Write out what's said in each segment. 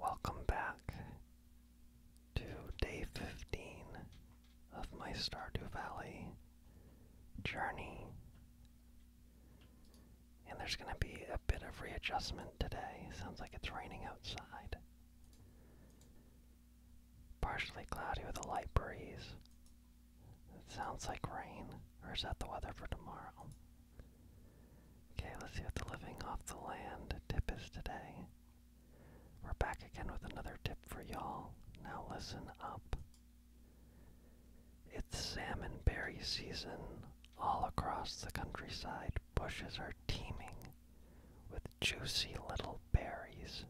Welcome back to day 15 of my Stardew Valley journey. And there's going to be a bit of readjustment today. Sounds like it's raining outside. Partially cloudy with a light breeze. It sounds like rain. Or is that the weather for tomorrow? Okay, let's see what the living off the land tip is today. We're back again with another tip for y'all. Now listen up. It's salmon berry season all across the countryside. Bushes are teeming with juicy little berries,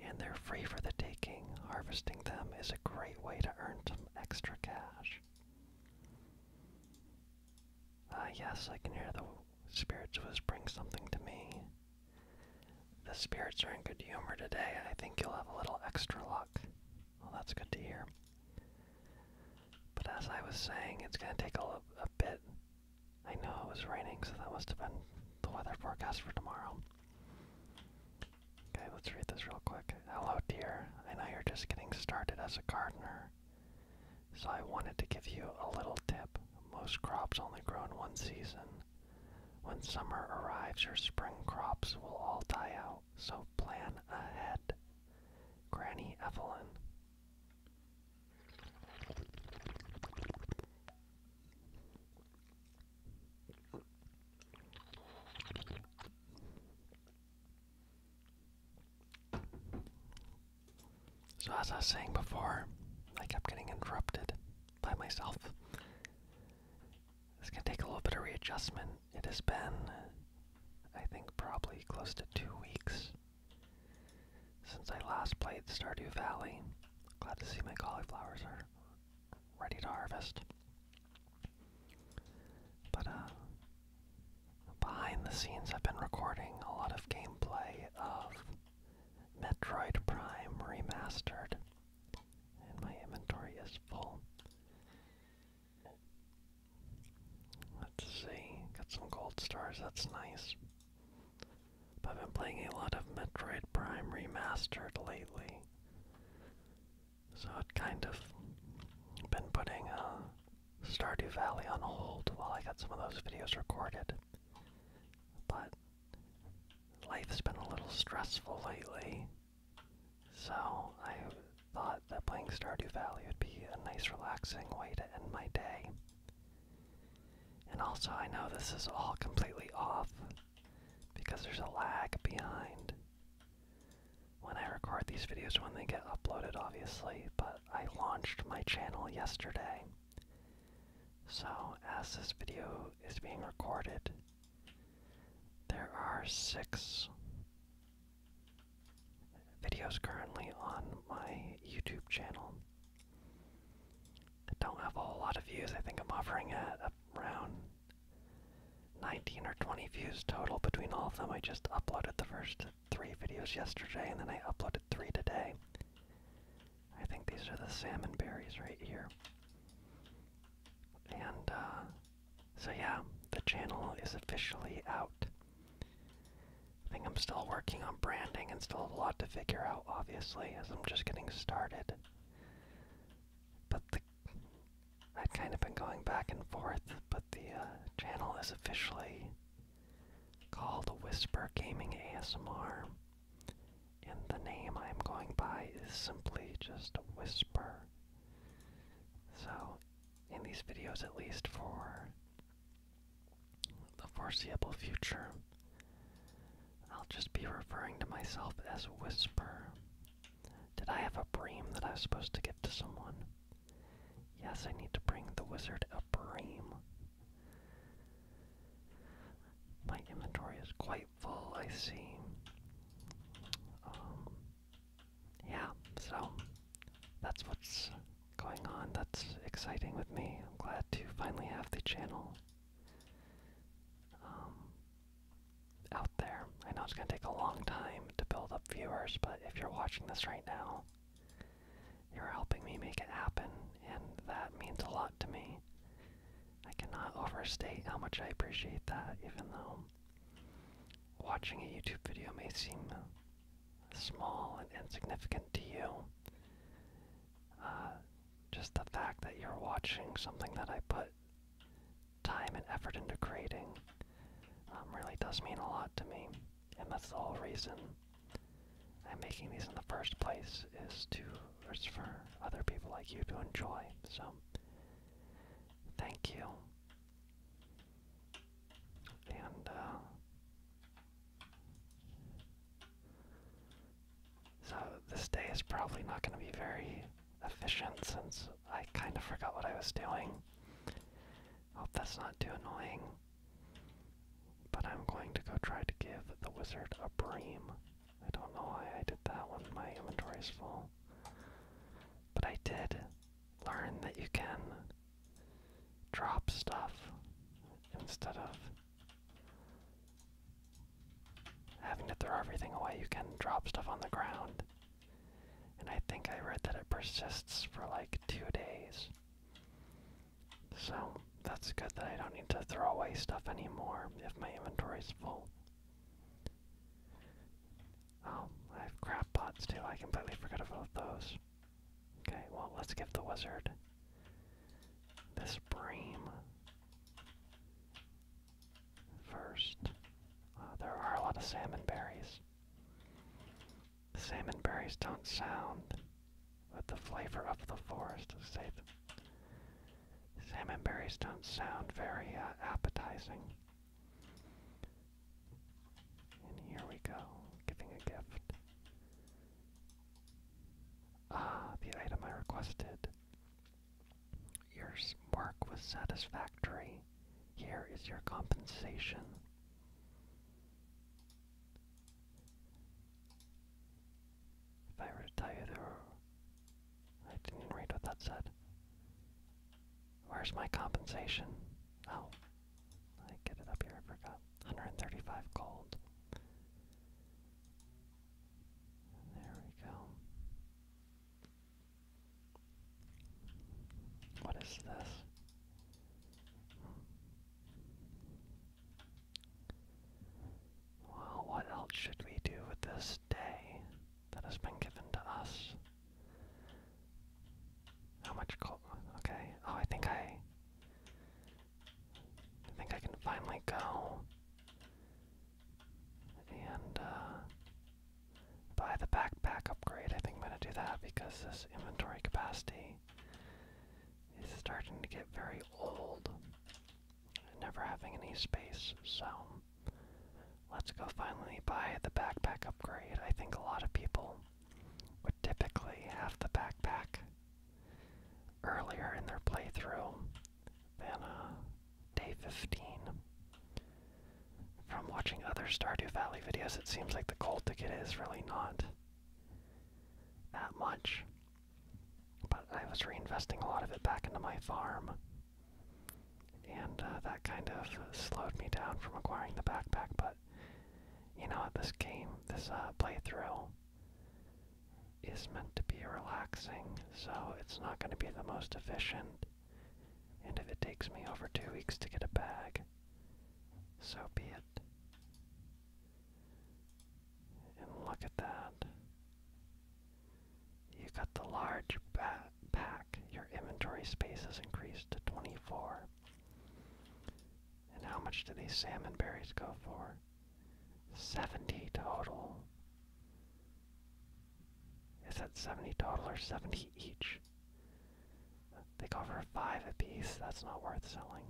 and they're free for the taking. Harvesting them is a great way to earn some extra cash. Uh, yes, I can hear the spirits bring something to me. The spirits are in good humor today, I think you'll have a little extra luck. Well, that's good to hear. But as I was saying, it's going to take a, a bit. I know it was raining, so that must have been the weather forecast for tomorrow. Okay, let's read this real quick. Hello, dear. I know you're just getting started as a gardener, so I wanted to give you a little tip. Most crops only grow in one season. When summer arrives, your spring crops will all die out, so plan ahead. Granny Evelyn. So, as I was saying before, I kept getting interrupted by myself. It's going take a little bit of readjustment. It has been, I think, probably close to two weeks since I last played Stardew Valley. Glad to see my cauliflowers are ready to harvest. But, uh, Behind the scenes, I've been recording a lot of gameplay of Metroid Prime Remastered, and my inventory is full. Let's see, got some gold stars, that's nice. But I've been playing a lot of Metroid Prime Remastered lately. So it kind of been putting a uh, Stardew Valley on hold while I got some of those videos recorded. But life's been a little stressful lately, so I thought that playing Stardew Valley would be a nice, relaxing way to end my day. And also, I know this is all completely off because there's a lag behind when I record these videos when they get uploaded, obviously, but I launched my channel yesterday. So, as this video is being recorded, there are six videos currently on my YouTube channel. I don't have a whole lot of views. I think I'm offering at around 19 or 20 views total between all of them. I just uploaded the first three videos yesterday, and then I uploaded three today. I think these are the salmon berries right here. And, uh, so yeah, the channel is officially out. I think I'm still working on branding and still a lot to figure out, obviously, as I'm just getting started. But I've kind of been going back and forth, but the uh, channel is officially called Whisper Gaming ASMR, and the name I'm going by is simply just Whisper. So, in these videos, at least for the foreseeable future, I'll just be referring to myself as Whisper. Did I have a bream that I was supposed to give to someone? Yes, I need to bring the wizard a bream. My inventory is quite full, I see. Um, yeah, so that's what's going on. That's exciting with me. I'm glad to finally have the channel um, out there. I know it's going to take a long time stream to build up viewers, but if you're watching this right now, you're helping me make it happen, and that means a lot to me. I cannot overstate how much I appreciate that, even though watching a YouTube video may seem small and insignificant to you. Uh, just the fact that you're watching something that I put time and effort into creating um, really does mean a lot to me, and that's the whole reason I'm making these in the first place is to for other people like you to enjoy. So thank you, and uh, so this day is probably not going to be very efficient since I kind of forgot what I was doing. Hope that's not too annoying. But I'm going to go try to give the wizard a bream. I don't know why I did that when my inventory is full. But I did learn that you can drop stuff instead of having to throw everything away. You can drop stuff on the ground and I think I read that it persists for like two days. So that's good that I don't need to throw away stuff anymore if my inventory's full. Oh, I have crab pots too. I completely forgot about those. Okay, well, let's give the wizard this bream first. Uh, there are a lot of salmon berries. Salmon berries don't sound with the flavor of the forest. Salmon berries don't sound very uh, appetizing. And here we go, giving a gift. Ah, the item I requested. Your work was satisfactory. Here is your compensation. If I were to tell you there I didn't read what that said. Where's my compensation? Oh. I get it up here, I forgot. 135 gold. There we go. What is this? Well, what else should we do with this day that has been given to us? How much Okay. Oh, I think I. I think I can finally go and uh, buy the backpack upgrade. I think I'm going to do that because this inventory capacity is starting to get very old. and Never having any space, so let's go finally buy the backpack upgrade. I think a lot of people would typically have the backpack earlier in their playthrough than uh, day 15. From watching other Stardew Valley videos, it seems like the gold ticket it is really not that much. But I was reinvesting a lot of it back into my farm. And uh, that kind of slowed me down from acquiring the backpack, but you know this game, this uh, playthrough, is meant to be relaxing, so it's not going to be the most efficient and if it takes me over two weeks to get a bag, so be it. And look at that. You got the large ba Your inventory space has increased to 24. And how much do these salmon berries go for? 70 total. Is that 70 total or 70 each? They go for five apiece. That's not worth selling.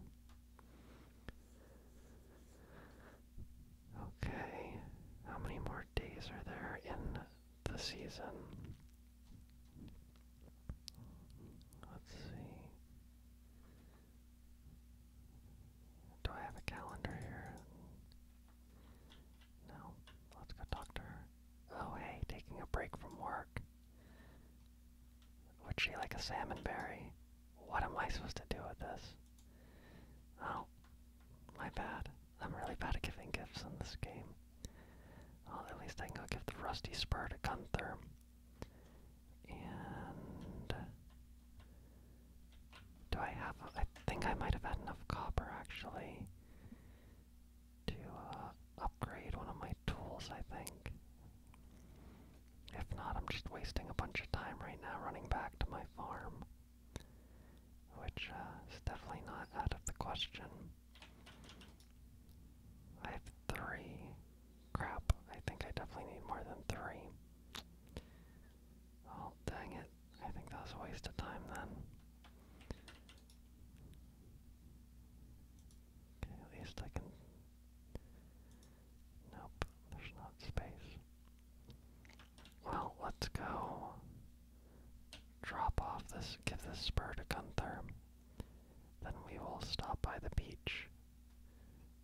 Okay, how many more days are there in the season? Let's see. Do I have a calendar here? No. Let's go talk to her. Oh, hey, taking a break from work. Would she like a salmon berry? What am I supposed to do with this? Oh, my bad. I'm really bad at giving gifts in this game. Well, at least I can go give the rusty spur to Gunther. And uh, do I have? A, I think I might have had enough copper actually to uh, upgrade one of my tools, I think. If not, I'm just wasting a bunch of time right now running back to my farm, which uh, is definitely not out of the question. I have three. Crap, I think I definitely need more than three. Oh, dang it. I think that was a waste of time then. Okay, at least I can... Nope, there's not space. Well, let's go drop off this, give this spur to Gunther. Then we will stop by the beach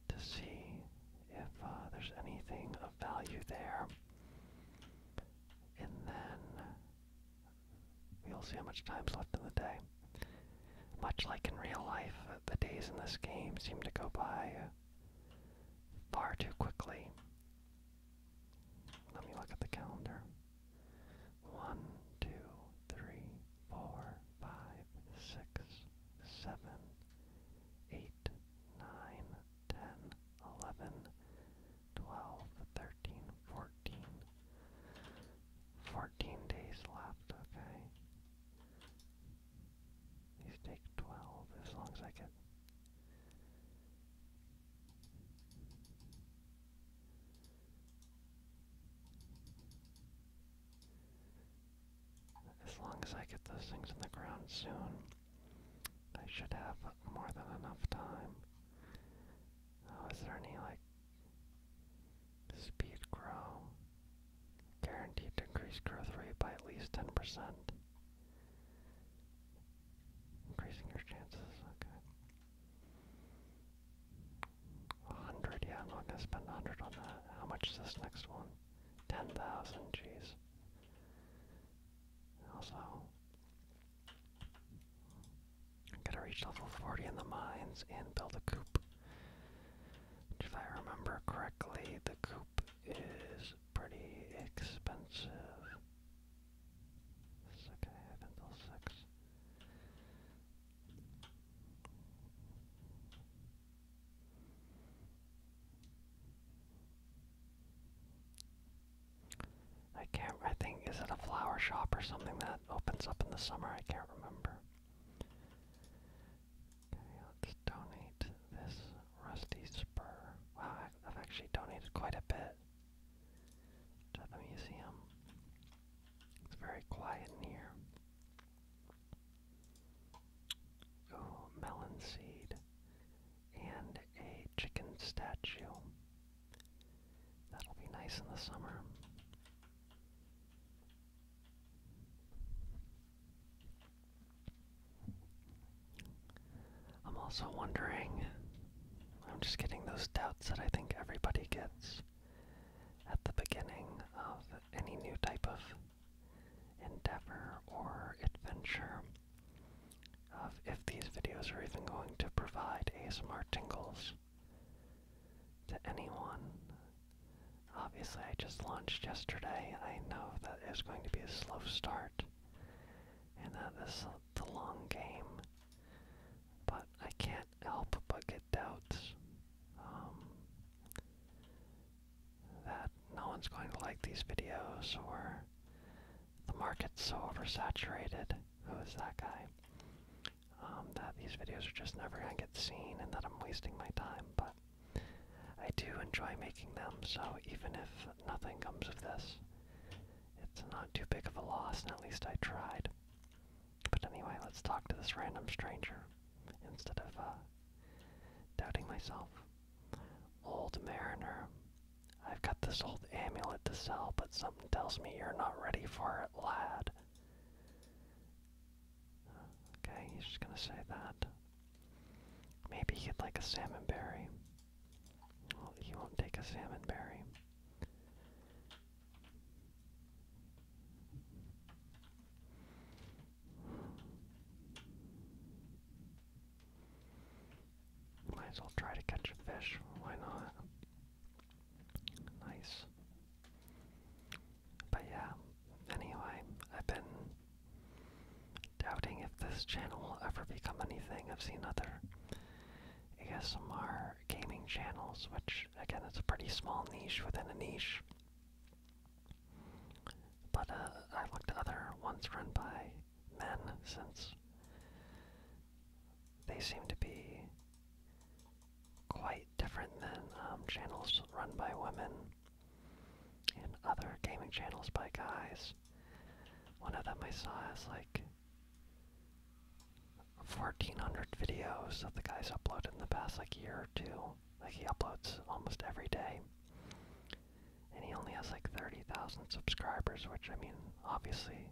to see if uh, there's anything of value there. And then You'll see how much time's left in the day. Much like in real life, uh, the days in this game seem to go by uh, far too quickly. Let me look at the calendar. One, two, three, four, five, six, seven, eight, nine, ten, eleven, 12, days left, okay. These take 12 as long as I get. As long as I get those things in the ground soon, I should have more than enough time Oh, is there any like speed grow? Guaranteed to increase growth rate by at least ten percent. Increasing your chances, okay. hundred, yeah, I'm not gonna spend a hundred on that. How much is this next one? Ten thousand, jeez. Also, Gotta reach level 40 in the mines and build a coop. If I remember correctly, the coop is pretty expensive. This I have until 6. I can't. I think is it a flower shop or something that opens up in the summer? I can't remember. Okay, let's donate this rusty spur. Wow, I've actually donated quite a bit to the museum. It's very quiet in here. Oh, melon seed and a chicken statue. That'll be nice in the summer. I'm also wondering, I'm just getting those doubts that I think everybody gets at the beginning of any new type of endeavor or adventure of if these videos are even going to provide ASMR tingles to anyone. Obviously, I just launched yesterday. I know that it's going to be a slow start and that this is the long game, but I can't help but get doubts um, that no one's going to like these videos or the market's so oversaturated who's that guy? Um, that these videos are just never gonna get seen and that I'm wasting my time, but I do enjoy making them, so even if nothing comes of this, it's not too big of a loss, and at least I tried. But anyway, let's talk to this random stranger instead of uh, doubting myself. Old mariner, I've got this old amulet to sell, but something tells me you're not ready for it, lad. Okay, he's just gonna say that. Maybe he'd like a salmon berry. he won't take a salmon berry. Might as well try to catch a fish. Why not? Nice. But yeah, anyway, I've been doubting if this channel will ever become anything. I've seen other ASMR gaming channels, which, again, it's a pretty small niche within a niche. But uh, I looked at other ones run by men since they seem to be quite different than um, channels run by women and other gaming channels by guys. One of them I saw has like 1400 videos that the guy's uploaded in the past like year or two. Like he uploads almost every day. And he only has like 30,000 subscribers, which I mean, obviously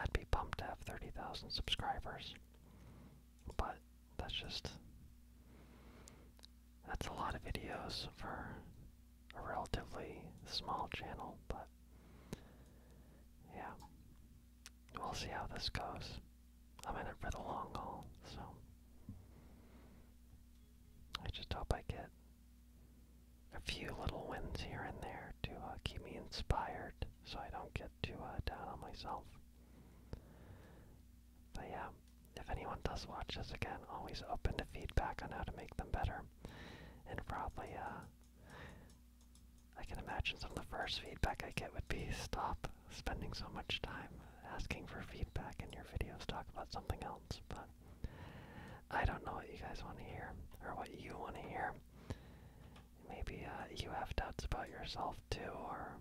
I'd be pumped to have 30,000 subscribers. But that's just. That's a lot of videos for a relatively small channel, but. Yeah. We'll see how this goes. I'm in it for the long haul, so. I just hope I get a few little wins here and there to uh, keep me inspired so I don't get too uh, down on myself. But yeah, if anyone does watch this again, always open to feedback on how to make them better. And probably, uh, I can imagine some of the first feedback I get would be stop spending so much time asking for feedback in your videos, talk about something else. But I don't know what you guys want to hear or what you want to hear. Maybe uh, you have doubts about yourself too, or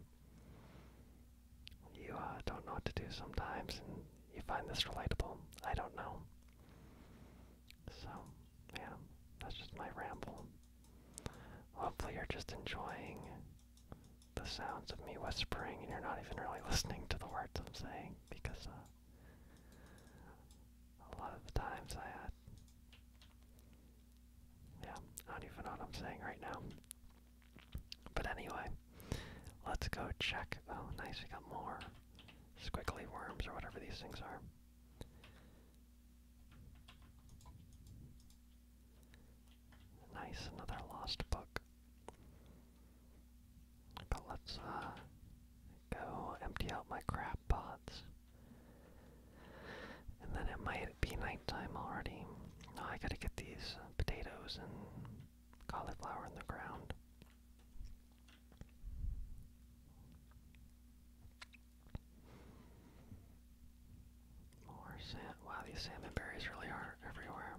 you uh, don't know what to do sometimes and you find this relatable. I don't know. So, yeah, that's just my ramble. Hopefully, you're just enjoying the sounds of me whispering and you're not even really listening to the words I'm saying because uh, a lot of the times I had. Yeah, I don't even know what I'm saying right now. But anyway, let's go check. Oh, nice, we got more squiggly worms or whatever these things are. Nice, another lost book let's uh, go empty out my crab pots. And then it might be nighttime already. I gotta get these potatoes and cauliflower in the ground. More sand. Wow, these salmon really are everywhere.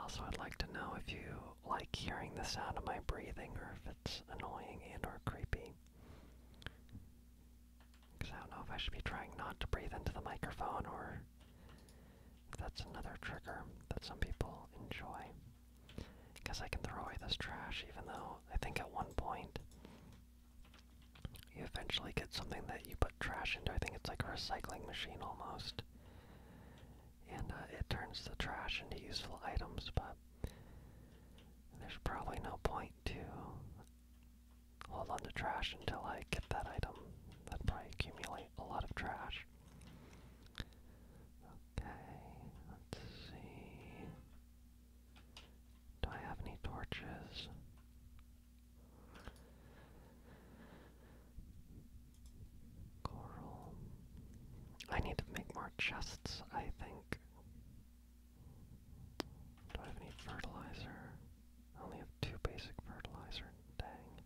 Also, I'd like to know if you like hearing the sound of my breathing or if it's annoying and or creepy. Because I don't know if I should be trying not to breathe into the microphone or that's another trigger that some people enjoy. Because I can throw away this trash, even though I think at one point you eventually get something that you put trash into. I think it's like a recycling machine almost. And uh, it turns the trash into useful items, but there's probably no point to hold on to trash until I get that item. That'd probably accumulate a lot of trash. Okay, let's see. Do I have any torches? Coral. I need to make more chests, I think. Do I have any fertilizer? only have two basic fertilizer. Dang.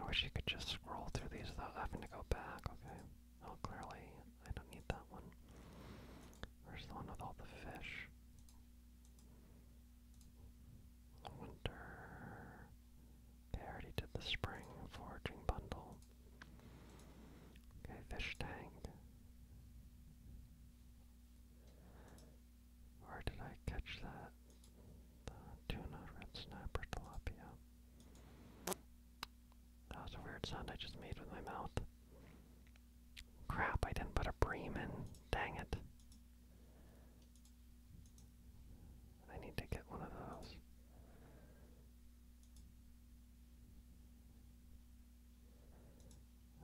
I wish you could just scroll through these without having to go back, okay? Oh, clearly I don't need that one. Where's the one with all the fish? Winter. They already did the spring foraging bundle. Okay, fish tanked. Where did I catch that? The tuna, red snapper, tilapia. That was a weird sound I just made with my mouth. Crap, I didn't put a bream in. Dang it. I need to get one of those.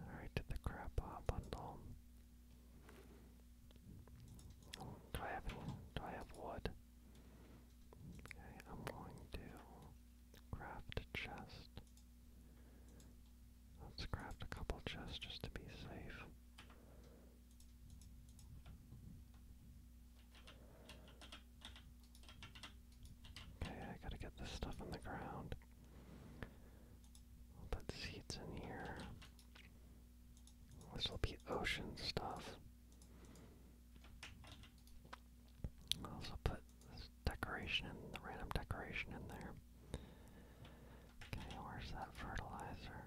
Alright, to the crab Do I have do I have wood? Okay, I'm going to craft a chest. Let's craft a couple chests just to be safe. Okay, I gotta get this stuff in the ground. put seeds in here. This will be ocean stuff. I'll also put this decoration, the random decoration in there. Okay, where's that fertilizer?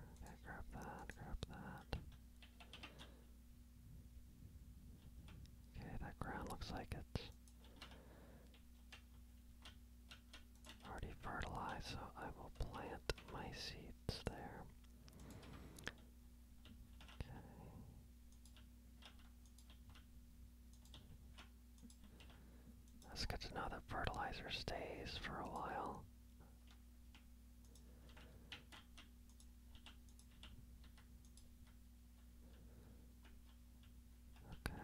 grab that, grab that. Okay, that ground looks like it's already fertilized, so I will plant my seeds there. Okay. That's good to know that fertilizer stays for a while. Okay.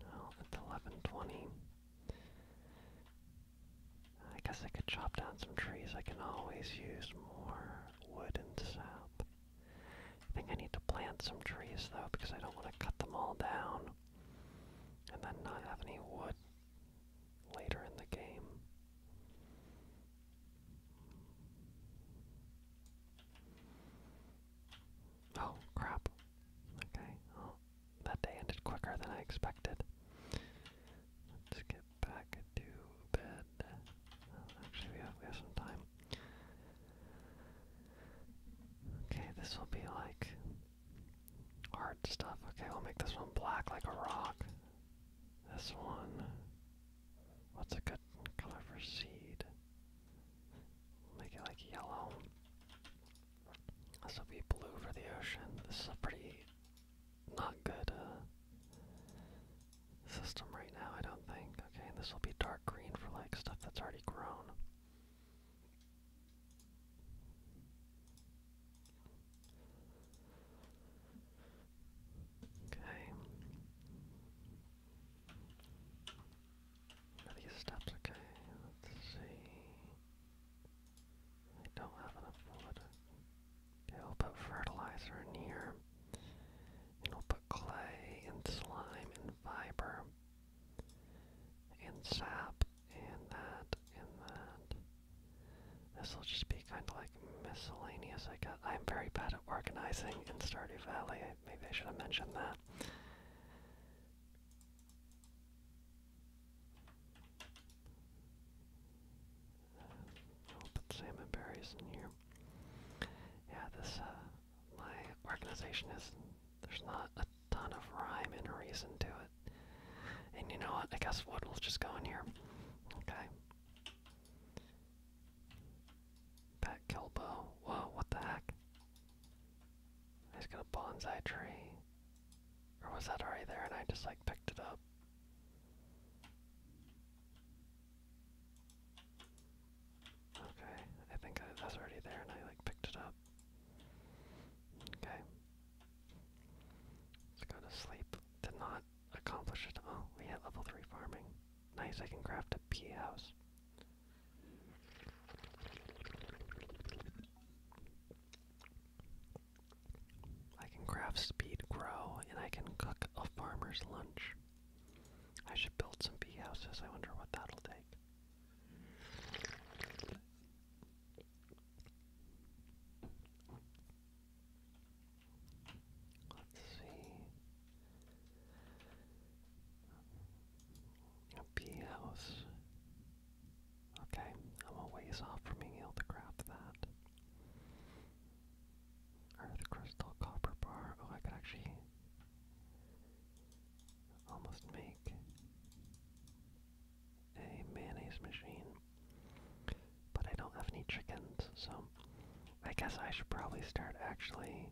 Now it's 1120. I guess I could chop down some trees. I can always use more wood and sap. I think I need to plant some trees though because I don't want to cut them all down and then not have any wood later in the game. Oh, crap. Okay. Oh, that day ended quicker than I expected. Let's get back to bed. Oh, actually, we have, we have some time. Okay, this will be like art stuff. Okay, we'll make this one black like a rock. This one. What's a good color for seed? Make it like yellow. This will be blue for the ocean. This is a pretty not good uh, system right now, I don't think. Okay, and this will be dark green for like stuff that's already grown. Okay. these steps okay? Let's see. I don't have enough wood. Okay, will put fertilizer in here. And will put clay and slime and fiber and sap and that and that. This will just be kind of like miscellaneous, I guess. I'm very bad at organizing in Stardew Valley. Maybe I should have mentioned that. I'll oh, put salmon berries here. Yeah, this, uh, my organization is, there's not a ton of rhyme and reason to it. And you know what? I guess wood will just go in here. Okay. Back Kilbo. Whoa, what the heck? I just got a bonsai tree. Or was that already there and I just like picked it up? Okay, I think that's already there and I like picked it up. Okay. Let's go to sleep. Did not accomplish it. Oh, we hit level 3 farming. Nice, I can craft a pea house. I can craft speed grow, and I can cook a farmer's lunch. I should build some bee houses. I wonder what that'll take. Let's see. A bee house. Okay, I'm a ways off from being able to craft that. Earth crystal copper bar. Oh, I could actually almost make a mayonnaise machine. But I don't have any chickens, so I guess I should probably start actually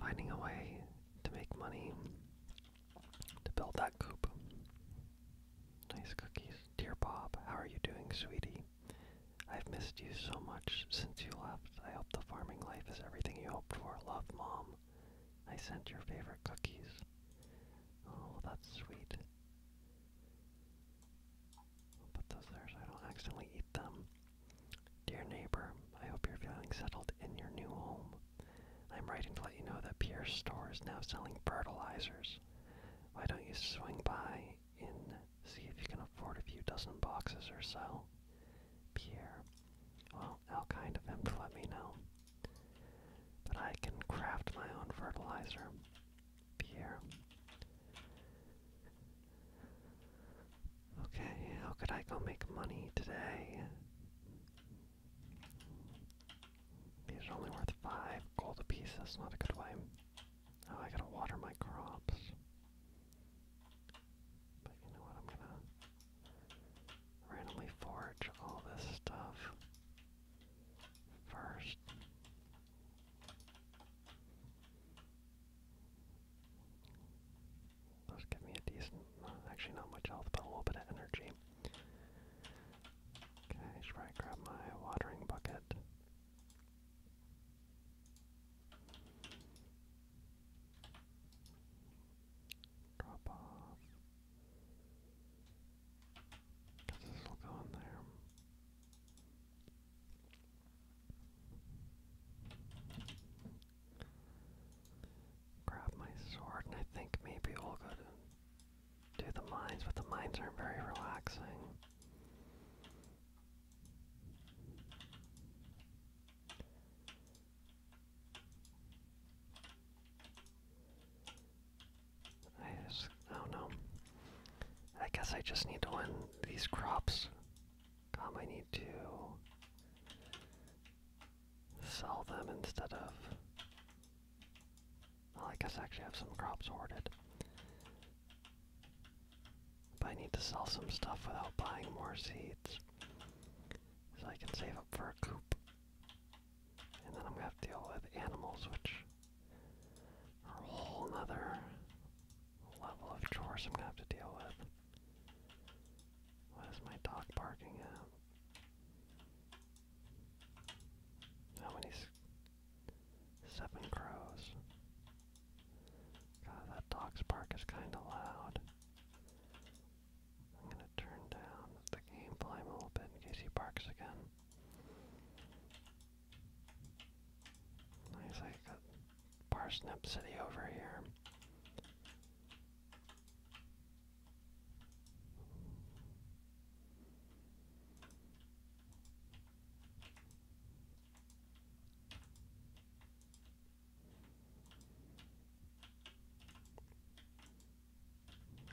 finding a way to make money to build that coop. Nice cookies. Dear Bob, how are you doing, sweetie? I've missed you so much since you left. I hope the farming life is everything you hoped for. Love, Mom. I sent your favorite cookies. Oh, that's sweet. I'll put those there so I don't accidentally eat them. Dear neighbor, I hope you're feeling settled in your new home. I'm writing to let you know that Pierce Store is now selling fertilizers. Why don't you swing by and see if you can afford a few dozen boxes or so? Pierre. Well, I'll kind of him to let me know. But I can craft my own fertilizer here. Okay, how could I go make money today? These are only worth five gold apiece, that's not a good way. Oh, I gotta water my crops. But you know what, I'm gonna randomly forage all this stuff first. Those give me a decent, actually not much health, but a little bit of energy. Okay, should probably grab my watering bucket. Drop off. Grab my sword, and I think maybe we'll go to do the mines, but the mines aren't very relaxing. I don't know. I guess I just need to win these crops. Um, I need to sell them instead of. I guess I actually have some crops hoarded. But I need to sell some stuff without buying more seeds. So I can save up for a coop. And then I'm gonna have to deal with animals, which are a whole other level of chores I'm gonna have to deal with. What is my dog barking at? How many? Seven crows. God, that dog's bark is kind of loud. I'm gonna turn down the gameplay a little bit in case he barks again. There's like parsnip city over here.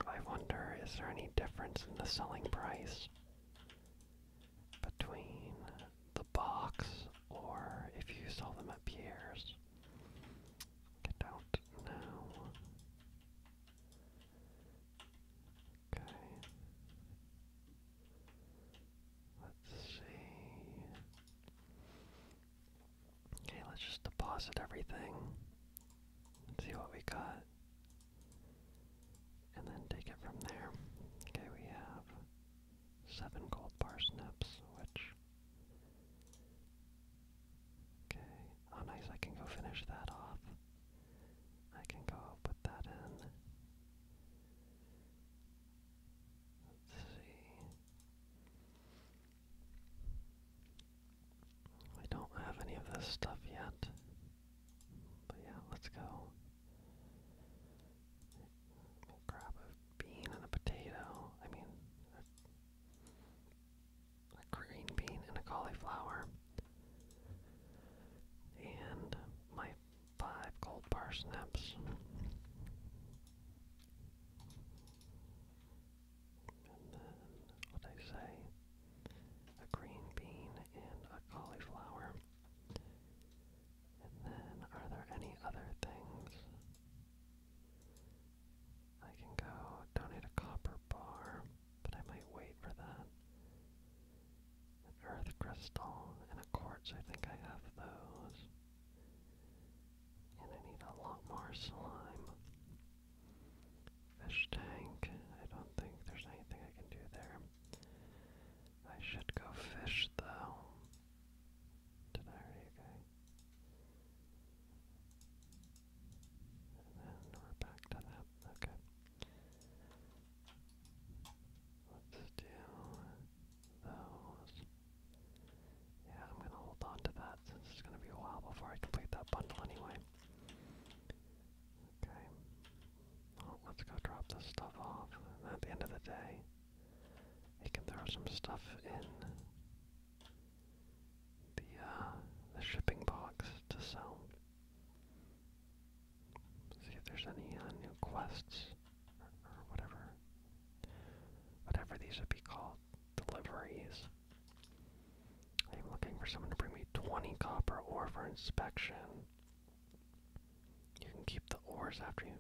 I wonder, is there any difference in the selling price between the box or if you saw them at Pierre's? I don't know. Okay. Let's see. Okay, let's just deposit everything see what we got, and then take it from there. Okay, we have seven gold parsnips, which. Okay, oh nice, I can go finish that off. I can go put that in. Let's see. We don't have any of this stuff yet. But yeah, let's go. grab a bean and a potato. I mean, a green bean and a cauliflower. And my five gold parsnips and then what I say, a green bean and a cauliflower. And then, are there any other things? I can go donate a copper bar, but I might wait for that. An earth crystal and a quartz, I think I have those. And I need a lot more slime. Fish tank. I don't think there's anything I can do there. I should go fish though. Did I already go? And then we're back to that. Okay. Let's do those. Yeah, I'm gonna hold on to that it's gonna be a while before I complete that bundle anyway. Okay. Well, let's go drop this stuff off. at the end of the day, he can throw some stuff in the uh, the shipping box to sell. See if there's any uh, new quests or whatever. Whatever these would be called, deliveries. I'm looking for someone to bring me 20 copper ore for inspection. You can keep the ores after you.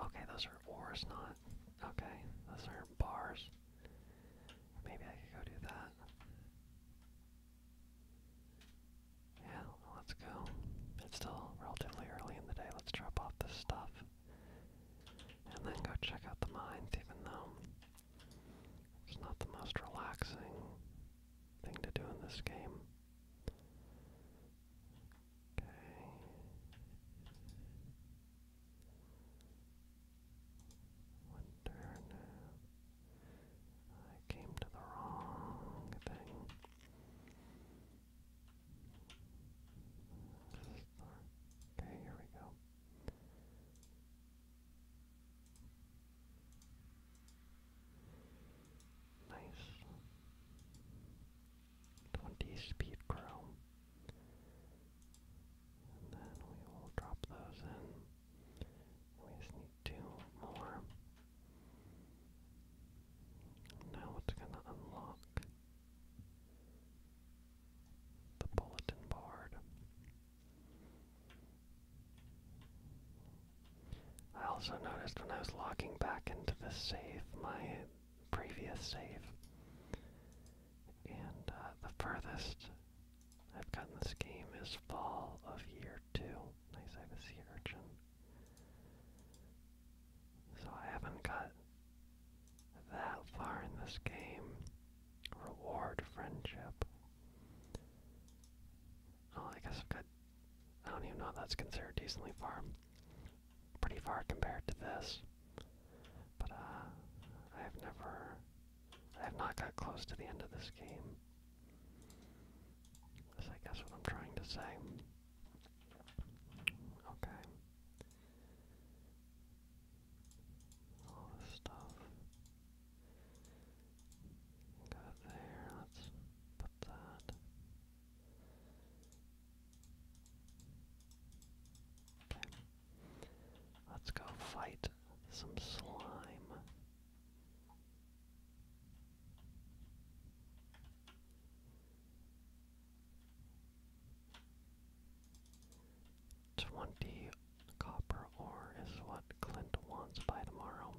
Okay, those are ores, not. Okay, those are bars. Maybe I could go do that. Yeah, well, let's go. It's still relatively early in the day. Let's drop off this stuff. And then go check out the mines, even though it's not the most relaxing thing to do in this game. Okay. Wonder now. I came to the wrong thing. Okay, here we go. Nice. 20 speed grow. then we will drop those in. We just need two more. Now it's going to unlock the bulletin board. I also noticed when I was logging back into the safe, my previous save, and uh, the furthest I've gotten this game is fall of year two. Nice, I have a sea urchin. So I haven't got that far in this game. Reward friendship. Oh, I guess I've got. I don't even know if that's considered decently far. Pretty far compared to this. But, uh, I have never. I have not got close to the end of this game. That's, I guess, what I'm trying to say. Okay all this stuff. Got there, let's put that. Okay. Let's go fight some slime. Twenty copper ore is what Clint wants by tomorrow.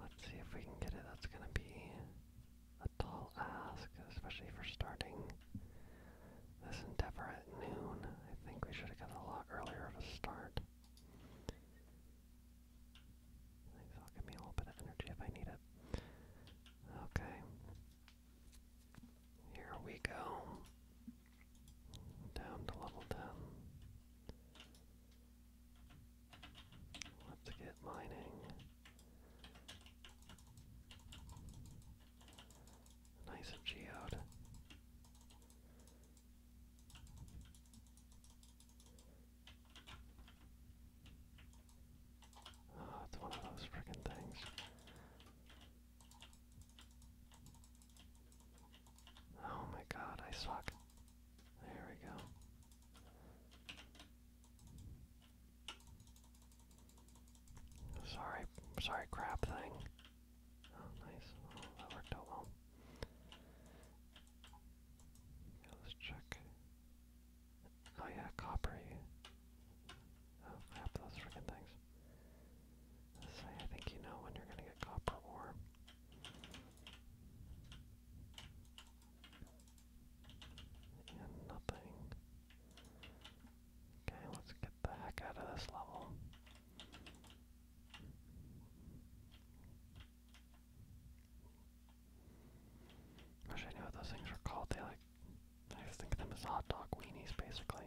Let's see if we can get it. That's gonna be a tall ask, especially for starting this endeavor at noon. I think we should have got a lot earlier of a start. I think that'll give me a little bit of energy if I need it. Okay, here we go. Down to level 10. Let's get mining. Nice geode. Oh, it's one of those freaking things. Oh my god, I suck. There we go. Sorry, sorry crap thing. Oh nice, oh, that worked out well. let's check. Oh yeah, coppery. Oh crap, those freaking things. say I think you know when you're gonna get copper nothing. Okay, let's get the heck out of this level. Wish I knew what those things were called. They like I was thinking of them as hot dog weenies, basically.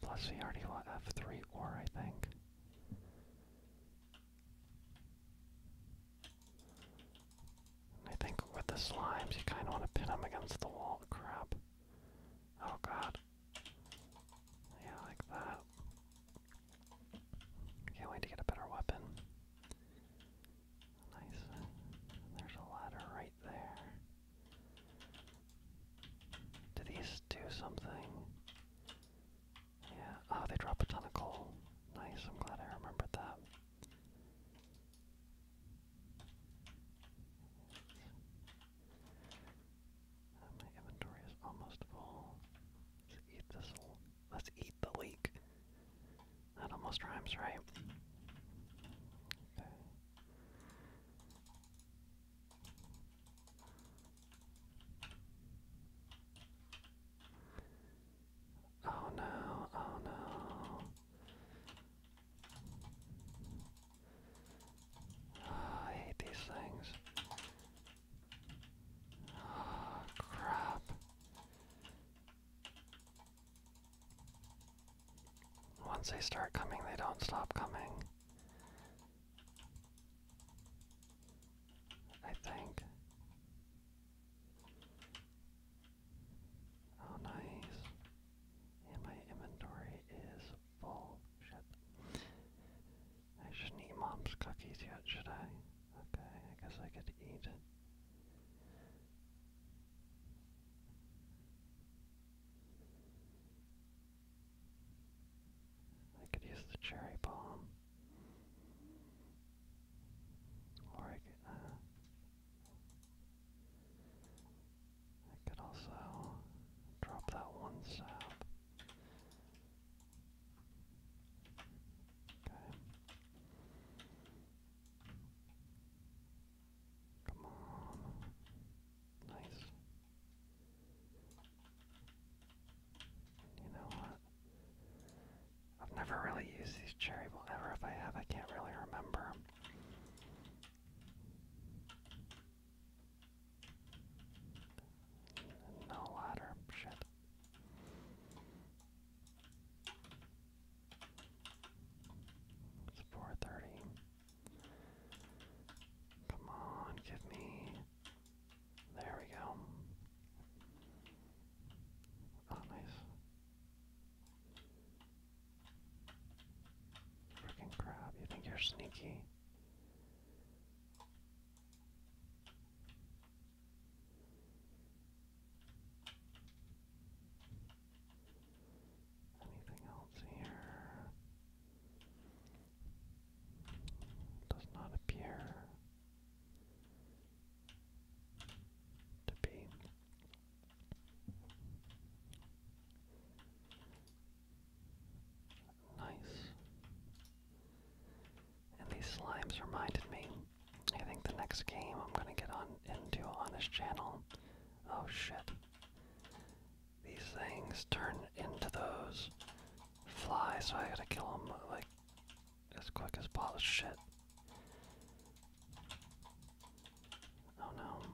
Plus, he already won F3 or, I think. I think with the slimes, you kind of want to pin them against the wall. Crap. Oh god. Yeah, like that. Can't wait to get a better weapon. Nice. There's a ladder right there. Do these do something? Yeah, oh, they drop a ton of coal. Nice, I'm glad I remembered that. my inventory is almost full. Let's eat the leek. That almost rhymes, right? Oh no, oh no. Oh, I hate these things. Oh, crap. Once they start coming, they don't stop coming. I think. Oh, nice. And my inventory is full. Shit. I shouldn't eat mom's cookies yet, should I? Okay, I guess I could eat. I could use the cherry bomb. Or I could, uh, also drop that one sap. Okay. Come on. Nice. You know what? I've never really used these cherry balls. Ever if I have, I can't really remember. No ladder, shit. It's four thirty. Come on, give me there we go. Ah, nice. Freaking crab, you think you're sneaky? Anything else here? Does not appear to be. Nice. And these slimes reminded me. I think the next game I'm gonna get on into on this channel. Oh shit. These things turn into those fly, so I gotta kill him like as quick as possible. Shit. Oh no.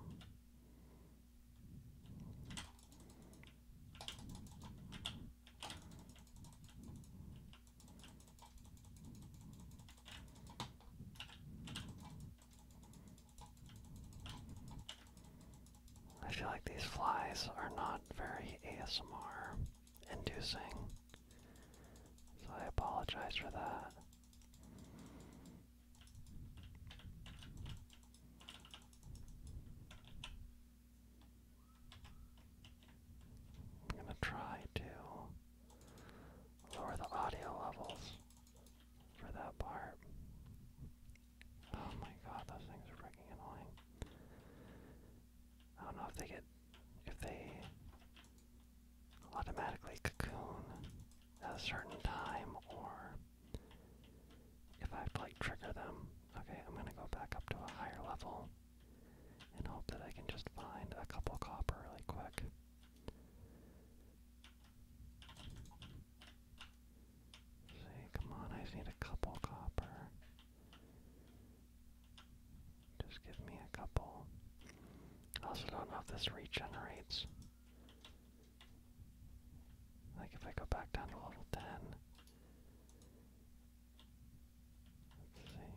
I feel like these flies are not very ASMR inducing. So I apologize for that. I'm gonna try to lower the audio levels for that part. Oh my god, those things are freaking annoying. I don't know if they get if they automatically cocoon at a certain time or if I have to like trigger them. Okay, I'm gonna go back up to a higher level and hope that I can just find a couple copper really quick. see, come on, I need a couple copper. Just give me a couple. I also don't know if this regenerates. Like if I go back down to level 10. Let's see.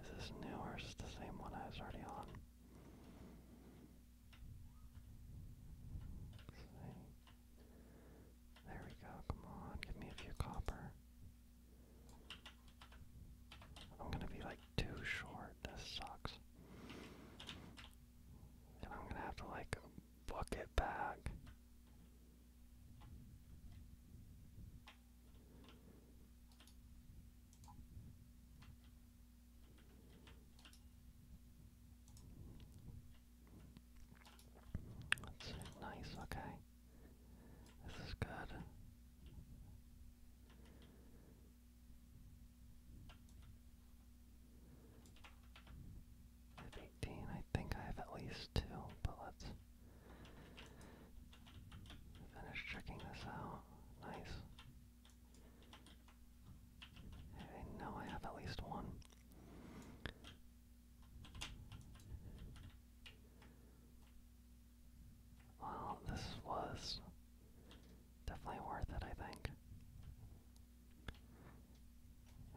Is this new or is this the same one I was already on? Let's see. There we go, come on, give me a few copper. I'm gonna be like too short, this sucks. And I'm gonna have to like book it back. That's nice, okay. This is good. I have 18. I think I have at least two, but let's finish checking this out. Nice. I know I have at least one. Well, this was definitely worth it, I think.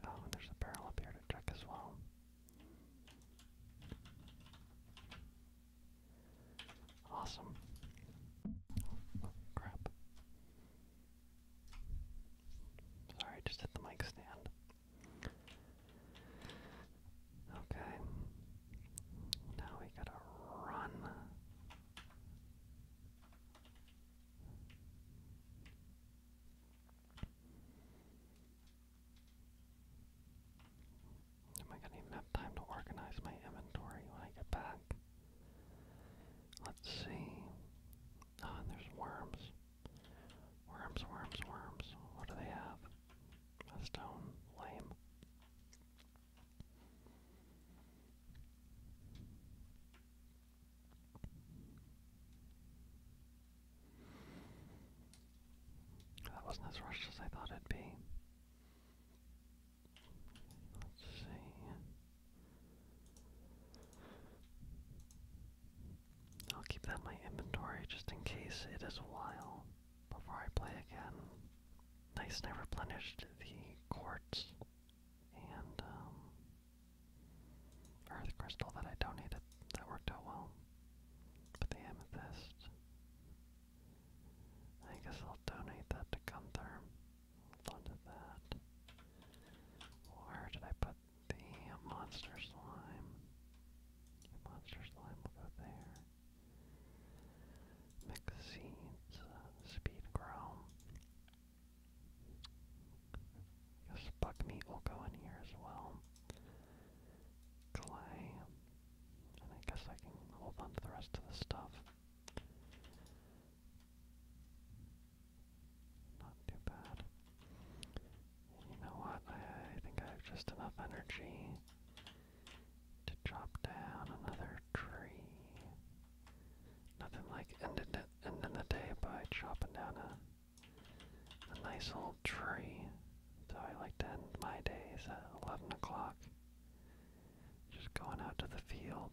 Oh, and there's a barrel up here to as well. Awesome. Oh, crap. Sorry, just hit the mic stand. Okay. Now we gotta run. Am I gonna even have time to organize my inventory when I get back? Let's see. Oh, there's worms. Worms, worms, worms. What do they have? A stone. Lame. That wasn't as rushed as I thought it'd be. Let's see. I'll keep that in my inventory just in case it is a while before I play again. Nice, and I replenished the quartz and um, earth crystal that I donated. That worked out well. But the amethyst, I guess I'll donate that to Gunther. Hold on to that. Where did I put the monster slime. monster slime will go there. Mix uh, speed grow. Guess buck meat will go in here as well. Clay. And I guess I can hold on to the rest of the stuff. Not too bad. You know what? I think I have just enough energy to chop down another tree. Nothing like ending it, ending the day by chopping down a a nice old tree. So I like to end my days at 11 o'clock. Just going out to the field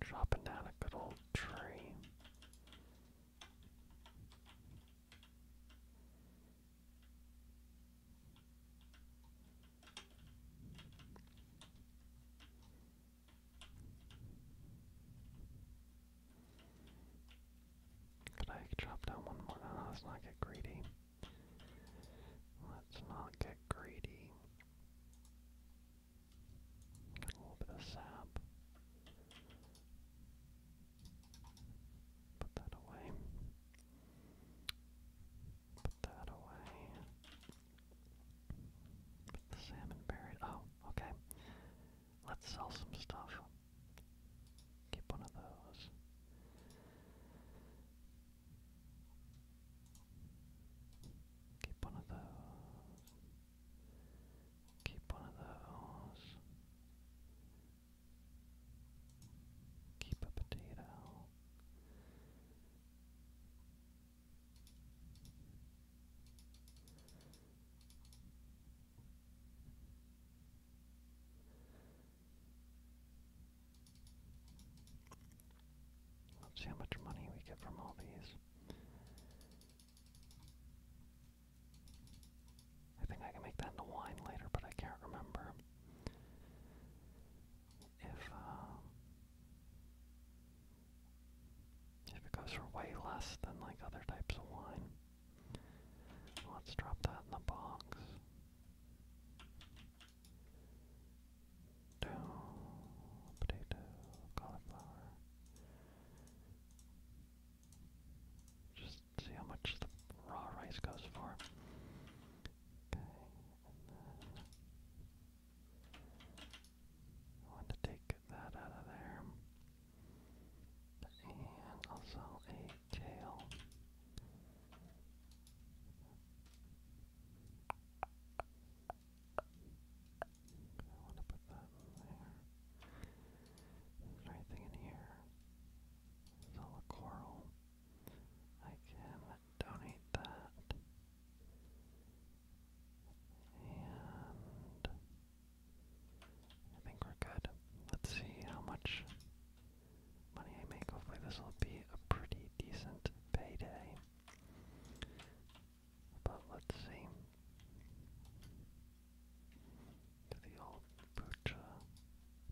Dropping down a good old tree. Could I drop down one more? let's not get greedy. Let's not get greedy. Got a little bit of sap. Put that away. Put that away. Put the salmon buried. Oh, okay. Let's sell some stuff. Keep one of those. Keep one of those. Keep one of those. Keep a potato. Let's see how much money we get from all these. I think I can make that into wine later, but I can't remember if uh, if it goes for way less than like other types of wine. Let's drop that in the box. Potato, cauliflower. Just see how much raw rice goes for. Okay, I want to take that out of there. And also a tail. I want to put that there. Is there anything in here? It's coral. I can donate that. And I think we're good. Let's see how much money I make. Hopefully this will be a pretty decent payday. But let's see. To the old Poocha,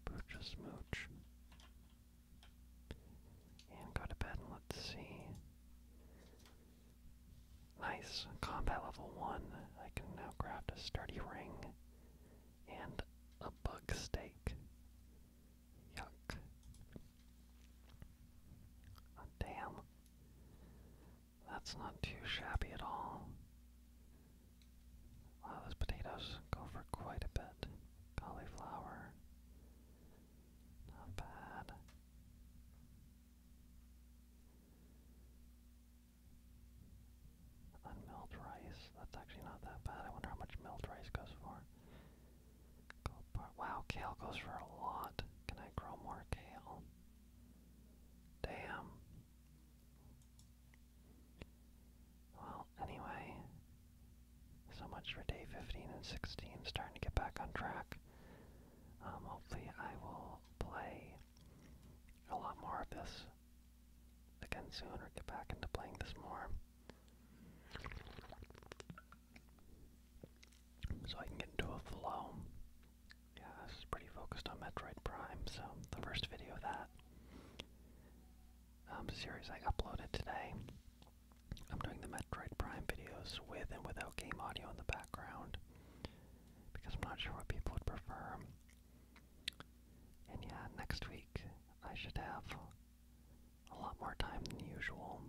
Poocha Smooch. And go to bed let's see. Nice. Combat level 1. I can now craft a sturdy ring and a bug stake. Yuck. Oh, damn. That's not too shabby at all. Wow, those potatoes go for quite a bit. Cauliflower. Not bad. Unmilled rice. That's actually not that bad. I wonder how much milled rice goes for. Wow, kale goes for a lot. Can I grow more kale? Damn. Well, anyway, so much for day 15 and 16. Starting to get back on track. Um, hopefully, I will play a lot more of this again soon or get back into playing this more so I can get into a flow. Yeah, this is pretty focused on Metroid Prime, so the first video of that um, series I uploaded today. I'm doing the Metroid Prime videos with and without game audio in the background because I'm not sure what people would prefer. And yeah, next week I should have a lot more time than usual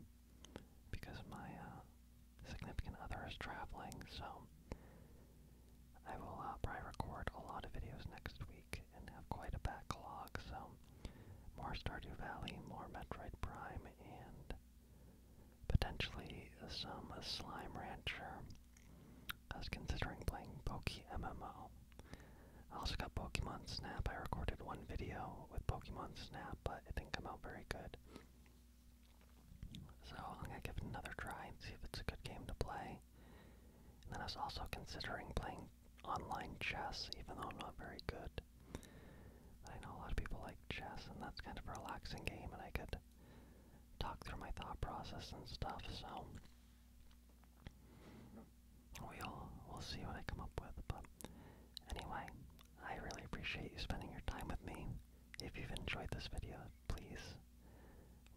because my uh, significant other is traveling, so I will uh, probably record a lot of videos next week and have quite a backlog. So, more Stardew Valley, more Metroid Prime, and potentially some Slime Rancher. I was considering playing Poke MMO. I also got Pokemon Snap. I recorded one video with Pokemon Snap, but but it didn't come out very good. So I'm gonna give it another try and see if it's a good game to play. And then I was also considering playing online chess, even though I'm not very good. I know a lot of people like chess, and that's kind of a relaxing game, and I could talk through my thought process and stuff. So we'll we'll see what I come up with. But anyway, I really appreciate you spending your time with me. If you've enjoyed this video, please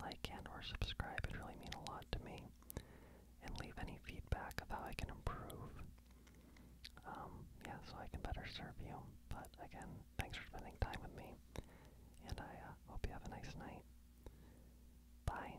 like and or subscribe. It really means a lot to me. And leave any feedback of how I can improve. Um, yeah, so I can better serve you. But again, thanks for spending time with me. And I uh, hope you have a nice night. Bye.